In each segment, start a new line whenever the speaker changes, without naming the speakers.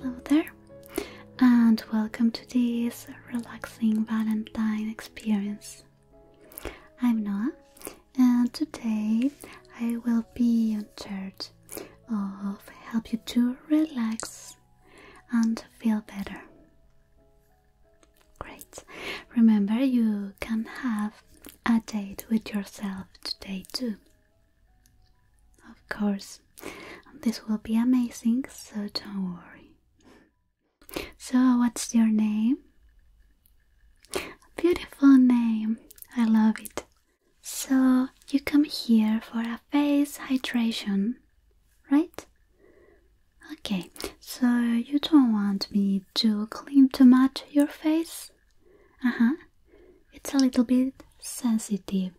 Hello there, and welcome to this relaxing Valentine experience. I'm Noah, and today I will be in charge of help you to relax and feel better. Great. Remember, you can have a date with yourself today too. Of course, this will be amazing, so don't worry. So, what's your name? beautiful name. I love it. So, you come here for a face hydration, right? Okay, so you don't want me to clean too much your face? Uh huh. It's a little bit sensitive.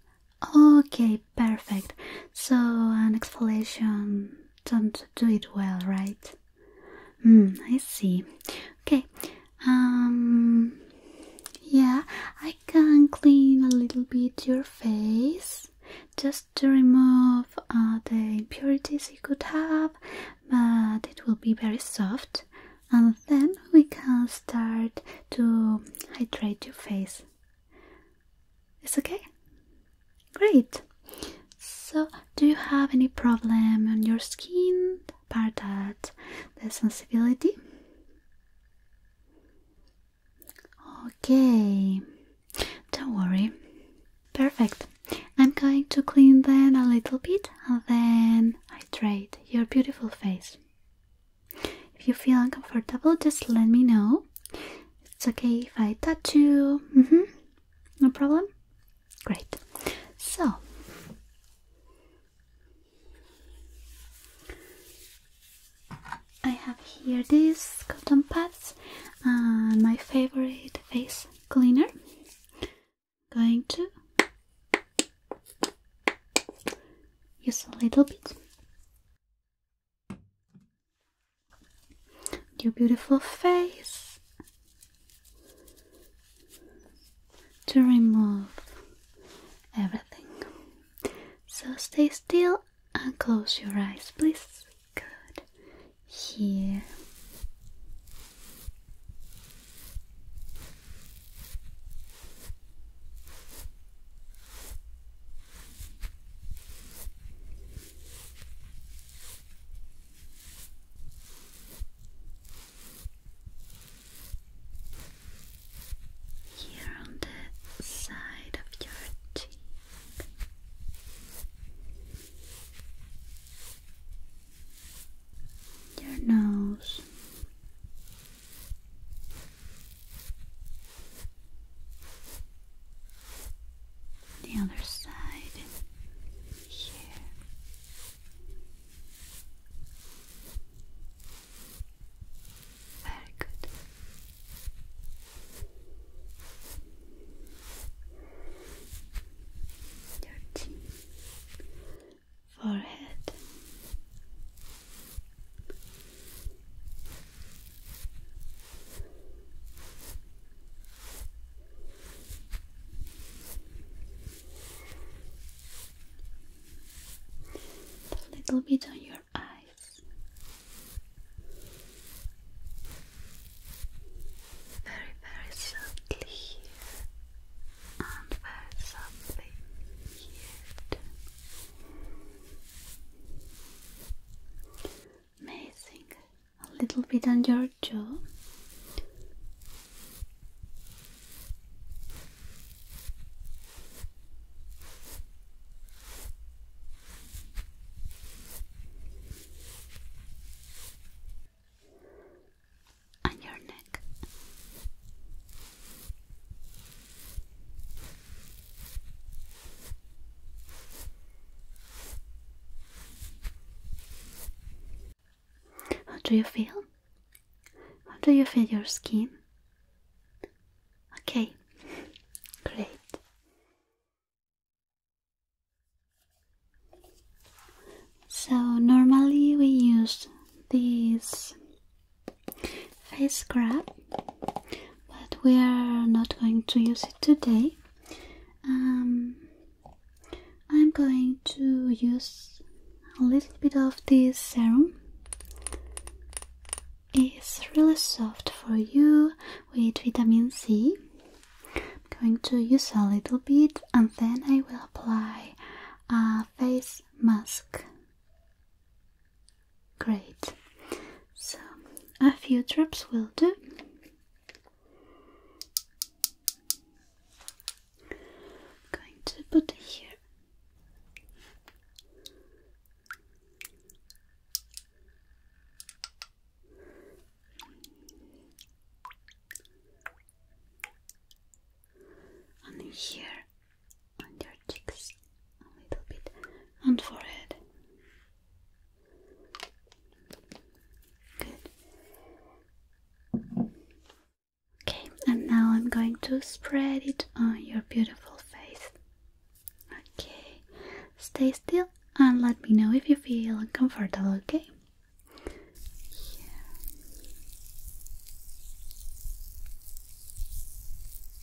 Okay, perfect. So, an exfoliation, don't do it well, right? Hmm, I see. Okay. Um yeah, I can clean a little bit your face just to remove uh, the impurities you could have, but it will be very soft and then we can start to hydrate your face. It's okay? Great! So, do you have any problem on your skin apart that the sensibility? Okay, don't worry. Perfect. I'm going to clean them a little bit and then hydrate your beautiful face. If you feel uncomfortable, just let me know it's okay if I touch you. Mm-hmm. No problem? Great. So, I have here these cotton pads and uh, my favorite face cleaner. Going to use a little bit your beautiful face to remove everything. So stay still and close your eyes, please. Good. Here. Here on the side of your cheek. Your nose, the other side here. Very good. Your chin, forehead, a little bit on your eyes. Very, very softly and very softly here Amazing. A little bit on your jaw. On your neck. How do you feel? How do you feel your skin? Okay, great. So, normally we use this face scrub but we are not going to use it today. Um, I'm going to use a little bit of this serum. It's really soft for you with vitamin C. I'm going to use a little bit and then I will apply a face mask. Great. So a few drops will do. going to put it here. And here on your cheeks a little bit and forehead. Good. Okay, and now I'm going to spread it on your beautiful face. Okay, stay still and let me know if you feel uncomfortable, okay?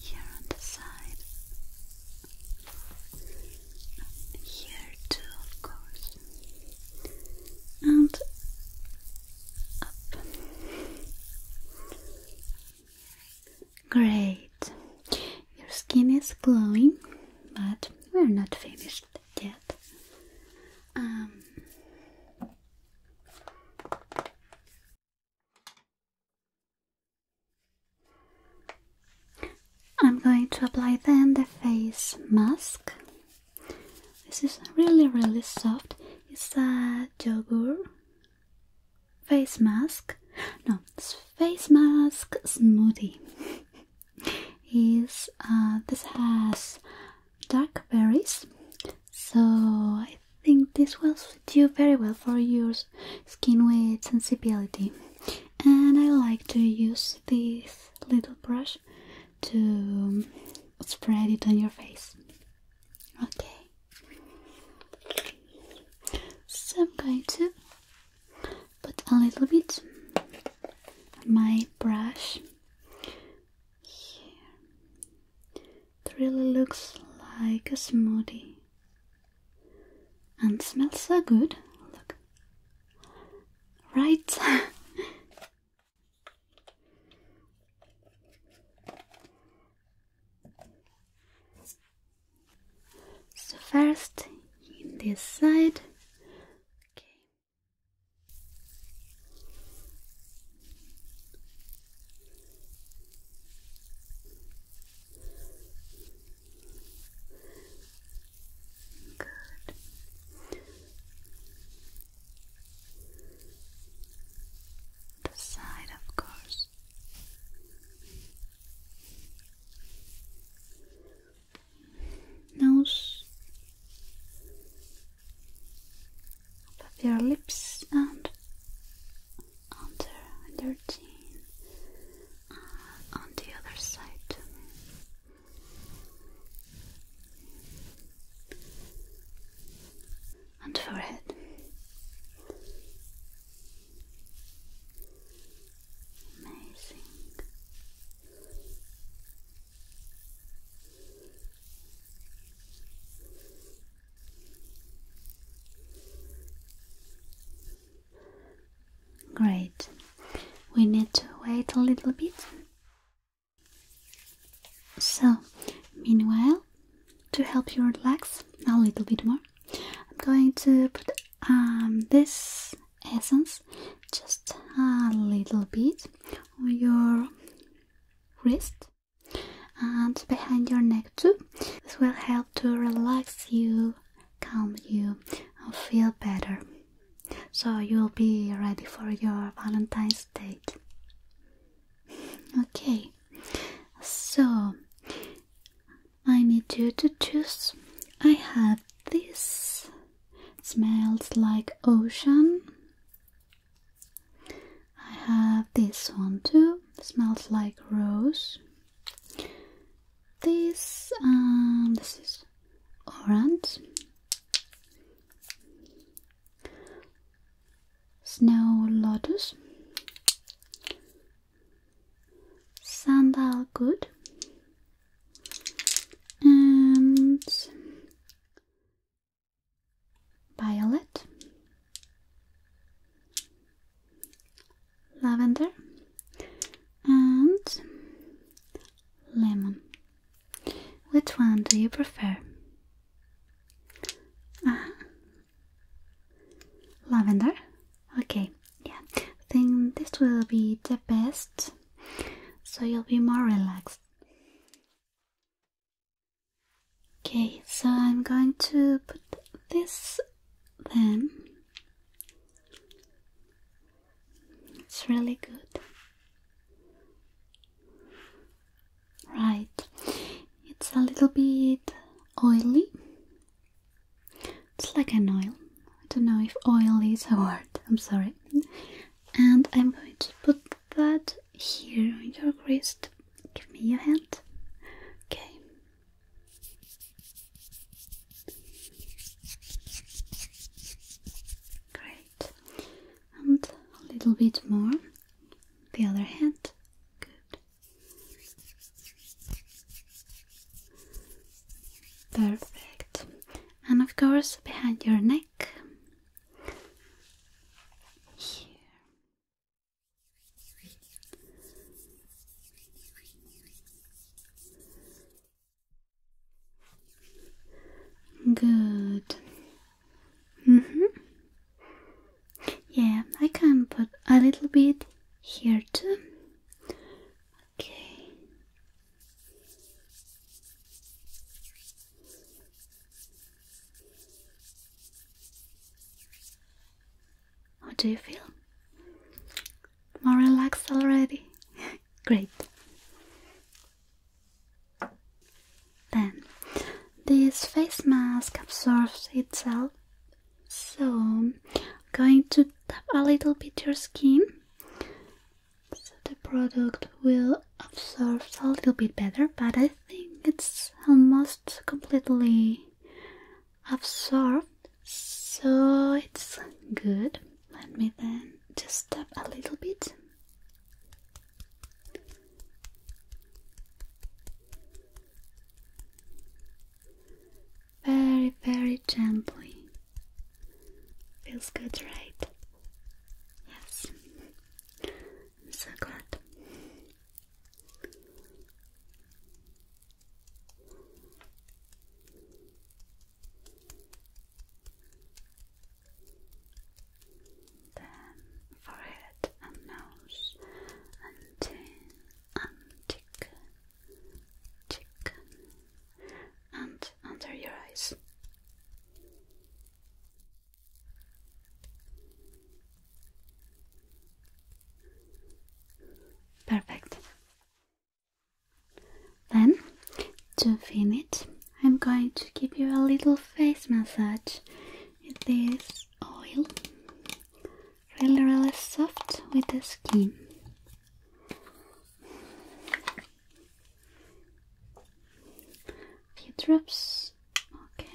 Here on the side, here too, of course, and up. Great. Your skin is glowing, but we're not finished yet. Um, I'm going to apply then the face mask. This is really really soft. It's a yogurt face mask no face mask smoothie is uh, this has dark berries so i think this will suit you very well for your skin with sensibility and i like to use this little brush to spread it on your face Okay. So I'm going to put a little bit my brush here. It really looks like a smoothie and smells so good. Look. Right. So first in this side. Good the side, of course. Nose above your lips and under your chin and uh, on the other side and forehead. Amazing. Great. We need to wait a little bit so, meanwhile, to help you relax a little bit more, I'm going to put um, this essence just a little bit on your wrist and behind your neck too. This will help to relax you, calm you, and feel better. So you'll be ready for your Valentine's date. Okay, so I need you to choose. I have this, smells like ocean. I have this one too, smells like rose. This, um, this is orange snow lotus, sandal good, and violet, lavender, and lemon. Which one do you prefer? Uh Lavender? Okay, yeah. I think this will be the best so you'll be more relaxed. Okay, so I'm going to put this then. It's really good. Right, it's a little bit oily. It's like an oil. I don't know if oil is a word, I'm sorry. And I'm going to put that here on your wrist. Give me your hand. Okay. Great and a little bit more the other hand good perfect and of course behind your neck here Good hmm Yeah, I can put a little bit here too. Okay. How do you feel? More relaxed already? Great. Then this face mask absorbs itself, so I'm going to tap a little bit your skin so the product will absorb a little bit better, but I think it's almost completely absorbed, so it's good. Let me then just tap a little bit. Very, very gently. Feels good, right? Yes, I'm so glad then forehead and nose and chin and cheek, cheek and under your eyes. Perfect. Then to finish I'm going to give you a little face massage with this oil. Really, really soft with the skin. A few drops. Okay.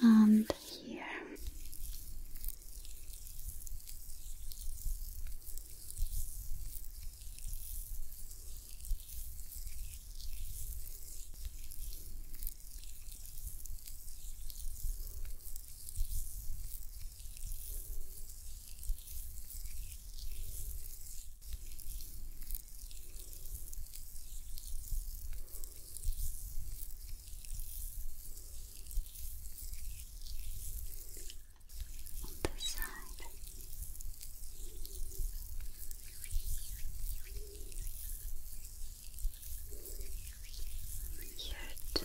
Good. And here. On this side. Here too.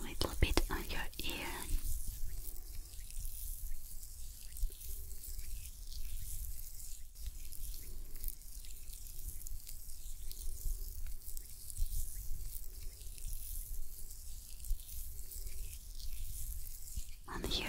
a little bit on your ear. On here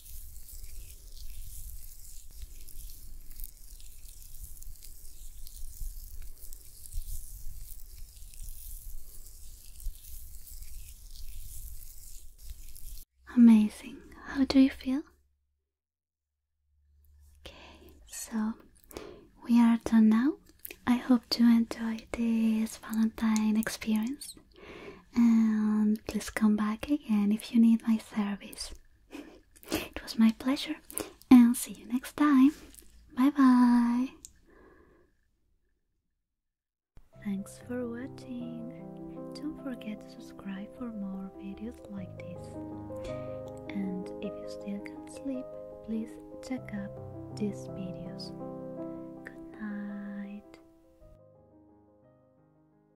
Amazing. How do you feel? Okay, so we are done now. I hope you enjoy this Valentine experience and please come back again if you need my service. It was my pleasure, and see you next time. Bye bye. Thanks for watching. Don't forget to subscribe for more videos like this. And if you still can't sleep, please check out these videos. Good night.